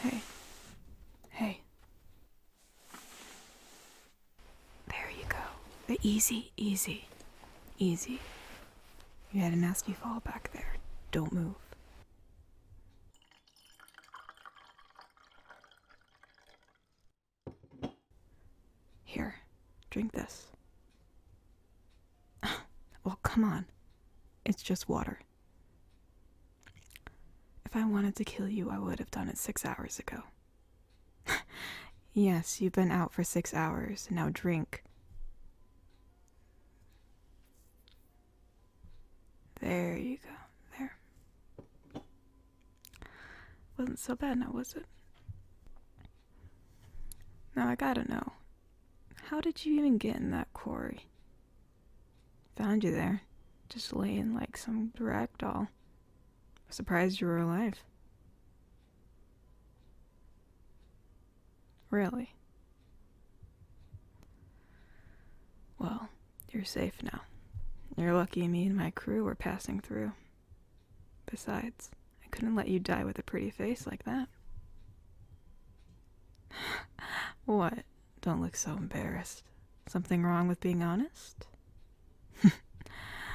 Hey. Hey. There you go. The easy, easy, easy. You had a nasty fall back there. Don't move. Here, drink this. well, come on. It's just water. If I wanted to kill you, I would have done it six hours ago. yes, you've been out for six hours, now drink. There you go. There. Wasn't so bad now, was it? Now I gotta know. How did you even get in that quarry? Found you there, just laying like some rag doll. Surprised you were alive. Really? Well, you're safe now. You're lucky me and my crew were passing through. Besides, I couldn't let you die with a pretty face like that. what? Don't look so embarrassed. Something wrong with being honest?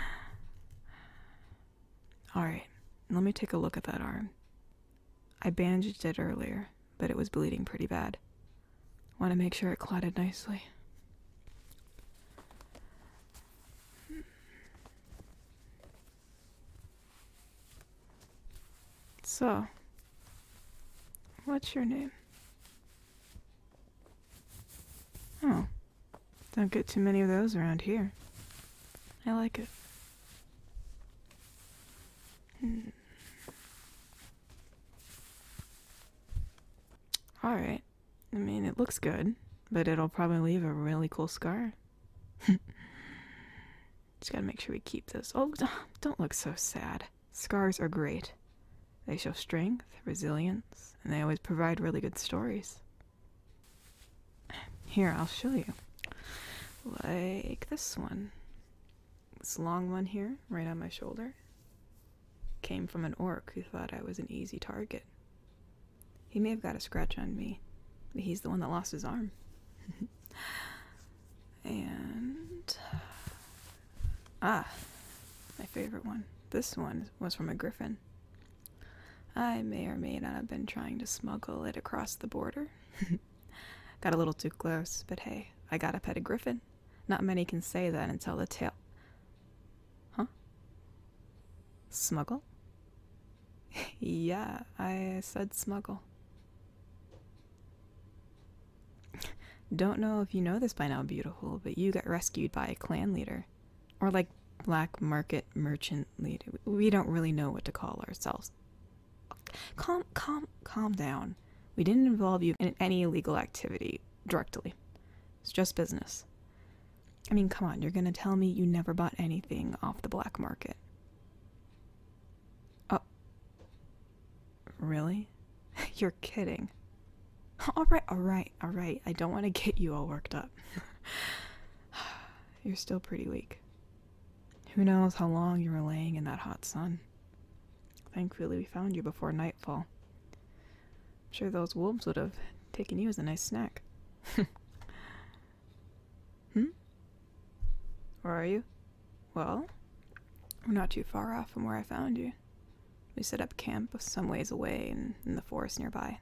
Alright, let me take a look at that arm. I bandaged it earlier, but it was bleeding pretty bad. Want to make sure it clotted nicely. So, what's your name? Oh, don't get too many of those around here. I like it. Hmm. Alright. I mean, it looks good, but it'll probably leave a really cool scar. Just gotta make sure we keep this. Oh, don't look so sad. Scars are great. They show strength, resilience, and they always provide really good stories. Here, I'll show you. Like this one. This long one here, right on my shoulder came from an orc who thought I was an easy target. He may have got a scratch on me, but he's the one that lost his arm. and. Ah, my favorite one. This one was from a griffin. I may or may not have been trying to smuggle it across the border. got a little too close, but hey, I got a pet a griffin. Not many can say that and tell the tale. Huh? Smuggle? yeah, I said smuggle. Don't know if you know this by now, beautiful, but you got rescued by a clan leader. Or like black market merchant leader. We don't really know what to call ourselves. Calm, calm, calm down. We didn't involve you in any illegal activity directly. It's just business. I mean, come on, you're gonna tell me you never bought anything off the black market. Oh. Really? you're kidding. Alright, alright, alright. I don't want to get you all worked up. you're still pretty weak. Who knows how long you were laying in that hot sun? Thankfully, we found you before nightfall. I'm sure those wolves would have taken you as a nice snack. hmm? Where are you? Well, we're not too far off from where I found you. We set up camp some ways away in the forest nearby.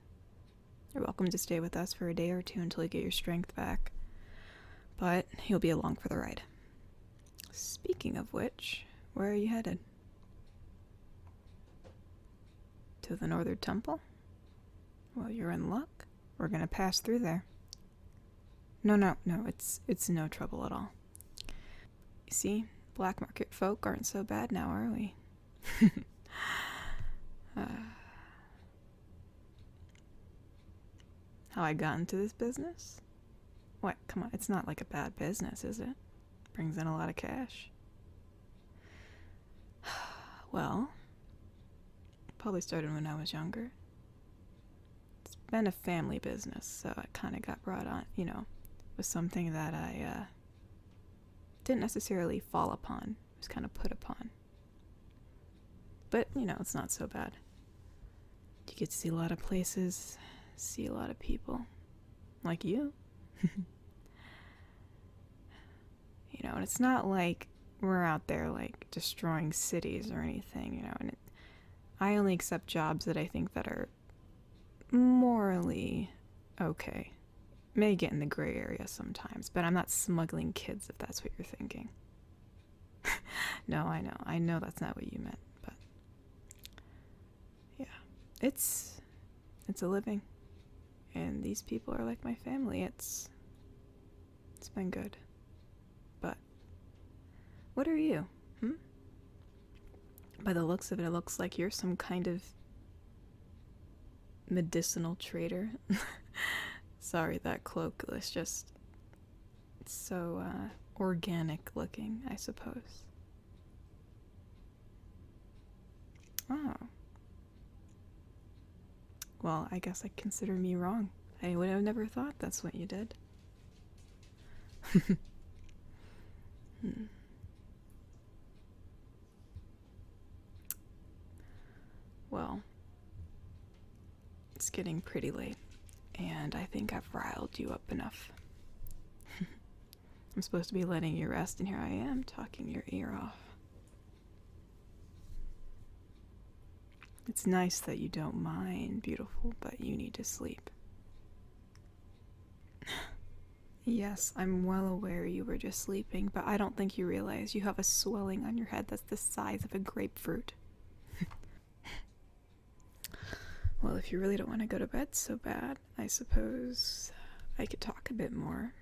You're welcome to stay with us for a day or two until you get your strength back, but you'll be along for the ride. Speaking of which, where are you headed? To the Northern Temple? Well, you're in luck. We're gonna pass through there. No, no, no, it's it's no trouble at all. You see, black market folk aren't so bad now, are we? how uh, I got into this business? What? Come on, it's not like a bad business, is it? Brings in a lot of cash. Well, probably started when I was younger. It's been a family business, so I kind of got brought on, you know, was something that I uh, didn't necessarily fall upon, was kind of put upon. But, you know, it's not so bad. You get to see a lot of places, see a lot of people. Like you. you know, and it's not like we're out there like destroying cities or anything, you know, I only accept jobs that I think that are morally okay. May get in the gray area sometimes, but I'm not smuggling kids if that's what you're thinking. no, I know. I know that's not what you meant, but yeah, it's it's a living, and these people are like my family. It's it's been good, but what are you? Hmm. By the looks of it, it looks like you're some kind of medicinal trader. Sorry, that cloak was just so uh, organic looking, I suppose. Oh. Well, I guess I consider me wrong. I would have never thought that's what you did. Hmm. Well, it's getting pretty late, and I think I've riled you up enough. I'm supposed to be letting you rest, and here I am talking your ear off. It's nice that you don't mind, beautiful, but you need to sleep. yes, I'm well aware you were just sleeping, but I don't think you realize you have a swelling on your head that's the size of a grapefruit. well, if you really don't want to go to bed so bad, I suppose I could talk a bit more.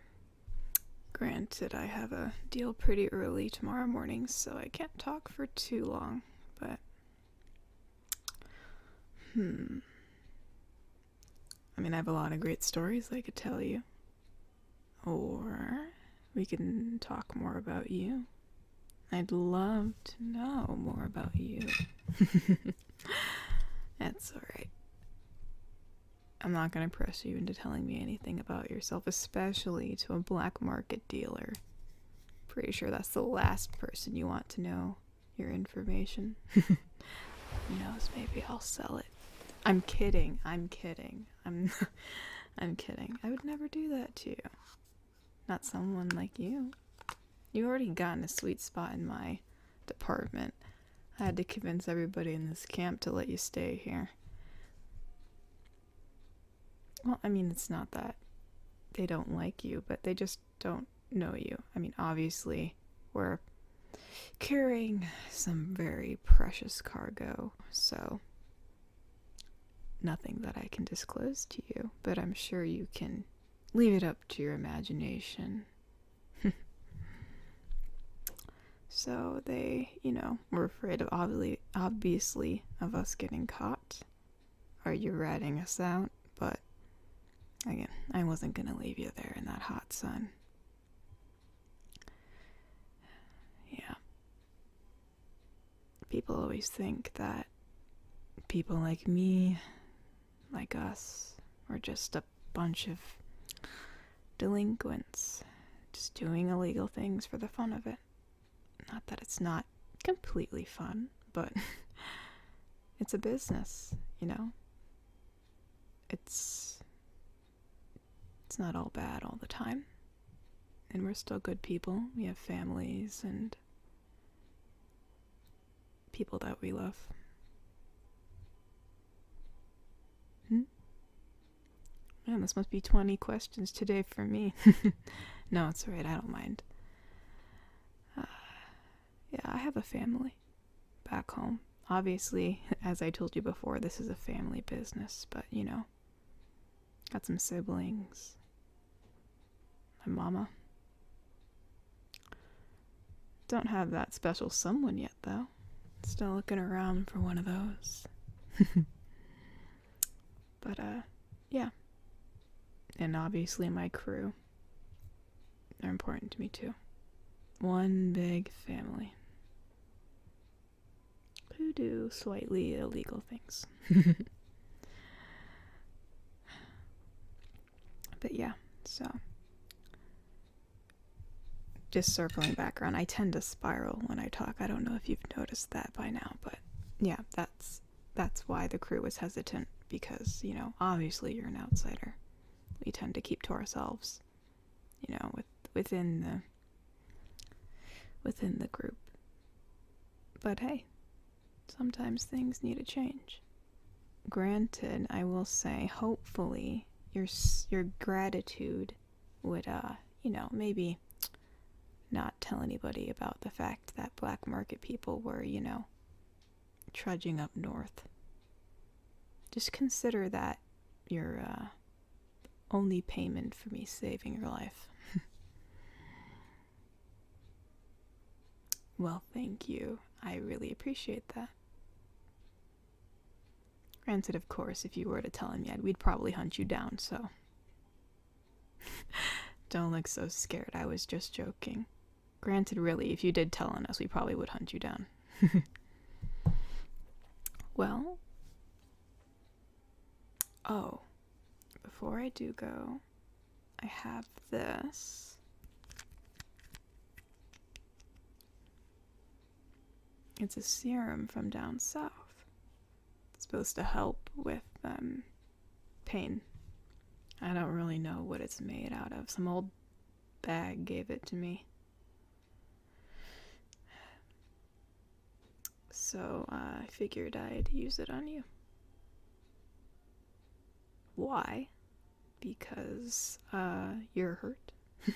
Granted, I have a deal pretty early tomorrow morning, so I can't talk for too long, but. Hmm. I mean, I have a lot of great stories I could tell you. Or we can talk more about you. I'd love to know more about you. That's alright. I'm not going to press you into telling me anything about yourself, especially to a black market dealer. Pretty sure that's the last person you want to know your information. Who knows, maybe I'll sell it. I'm kidding. I'm kidding. I'm I'm kidding. I would never do that to you. Not someone like you. You've already gotten a sweet spot in my department. I had to convince everybody in this camp to let you stay here. Well, I mean, it's not that they don't like you, but they just don't know you. I mean, obviously, we're carrying some very precious cargo, so nothing that I can disclose to you, but I'm sure you can leave it up to your imagination. so they, you know, were afraid of obviously, obviously of us getting caught. Are you ratting us out? But again, I wasn't gonna leave you there in that hot sun. Yeah people always think that people like me, like us, are just a bunch of delinquents, just doing illegal things for the fun of it. Not that it's not completely fun, but it's a business, you know? It's. It's not all bad all the time and we're still good people. We have families and people that we love. Hmm? Man, this must be 20 questions today for me. no, it's alright, I don't mind. Uh, yeah, I have a family back home. Obviously, as I told you before, this is a family business, but you know, Got some siblings. My mama. Don't have that special someone yet, though. Still looking around for one of those. but, uh, yeah. And obviously, my crew. are important to me, too. One big family who do slightly illegal things. but yeah, so just circling back around, I tend to spiral when I talk. I don't know if you've noticed that by now, but yeah, that's that's why the crew was hesitant because, you know, obviously you're an outsider. We tend to keep to ourselves, you know, with within the within the group. But hey, sometimes things need a change. Granted, I will say, hopefully, your your gratitude would, uh, you know, maybe not tell anybody about the fact that black market people were, you know, trudging up north. Just consider that your uh, only payment for me saving your life. well, thank you. I really appreciate that. Granted, of course, if you were to tell him yet, we'd probably hunt you down, so. Don't look so scared. I was just joking. Granted, really, if you did tell on us, we probably would hunt you down. well, Oh, before I do go, I have this. It's a serum from down south. It's supposed to help with um, pain. I don't really know what it's made out of. Some old bag gave it to me. So uh, I figured I'd use it on you. Why? Because uh, you're hurt.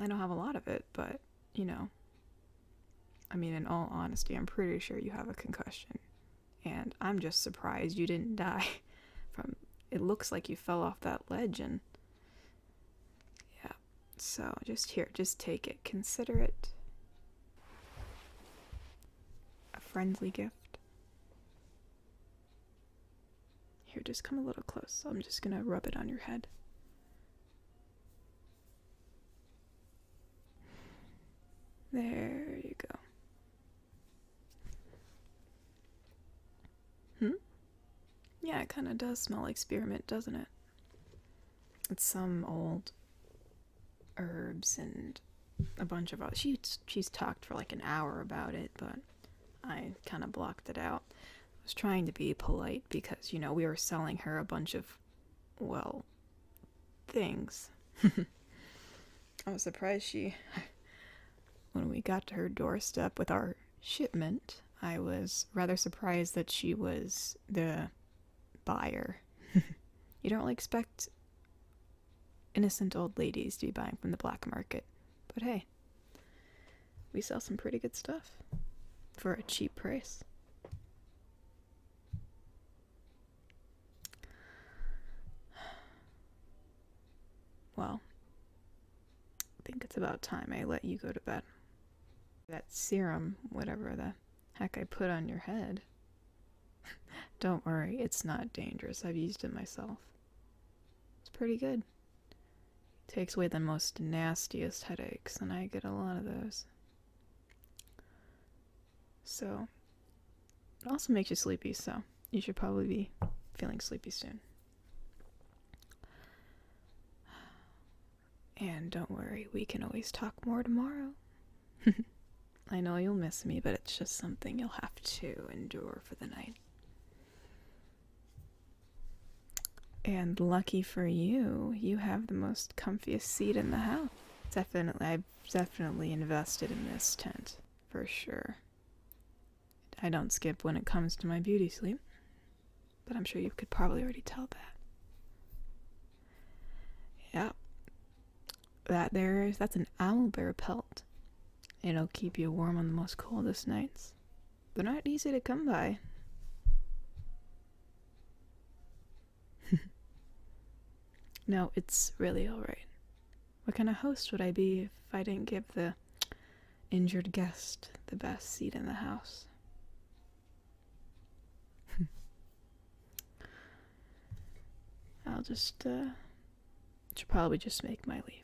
I don't have a lot of it, but you know. I mean, in all honesty, I'm pretty sure you have a concussion. And I'm just surprised you didn't die from. It looks like you fell off that ledge and yeah, so just here, just take it. Consider it a friendly gift. Here, just come a little close. I'm just gonna rub it on your head. There you go. Hmm? Yeah, it kind of does smell like spearmint, doesn't it? It's some old herbs and a bunch of other. She, she's talked for like an hour about it, but I kind of blocked it out. I was trying to be polite because, you know, we were selling her a bunch of, well, things. I was surprised she, when we got to her doorstep with our shipment, I was rather surprised that she was the buyer. you don't expect innocent old ladies to be buying from the black market, but hey, we sell some pretty good stuff for a cheap price. Well, I think it's about time I let you go to bed. That serum, whatever the heck I put on your head. Don't worry, it's not dangerous. I've used it myself. It's pretty good. It takes away the most nastiest headaches, and I get a lot of those. So, it also makes you sleepy, so you should probably be feeling sleepy soon. And don't worry, we can always talk more tomorrow. I know you'll miss me, but it's just something you'll have to endure for the night. And lucky for you, you have the most comfiest seat in the house. Definitely, I've definitely invested in this tent, for sure. I don't skip when it comes to my beauty sleep, but I'm sure you could probably already tell that. Yeah, that there is that's an owl bear pelt. It'll keep you warm on the most coldest nights. They're not easy to come by. no, it's really alright. What kind of host would I be if I didn't give the injured guest the best seat in the house? I'll just, uh, should probably just make my leave.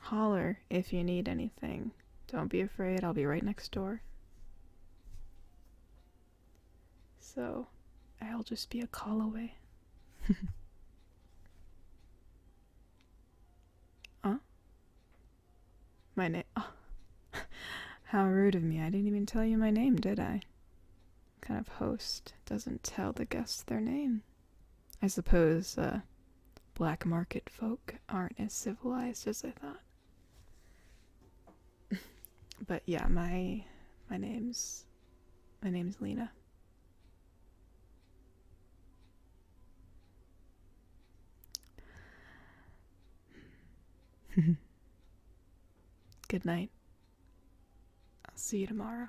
Holler if you need anything. Don't be afraid, I'll be right next door. So, I'll just be a call away. huh? My name. Oh. How rude of me. I didn't even tell you my name, did I? kind of host doesn't tell the guests their name. I suppose, uh, black market folk aren't as civilized as I thought. but yeah, my my name's my name is Lena. Good night. I'll see you tomorrow.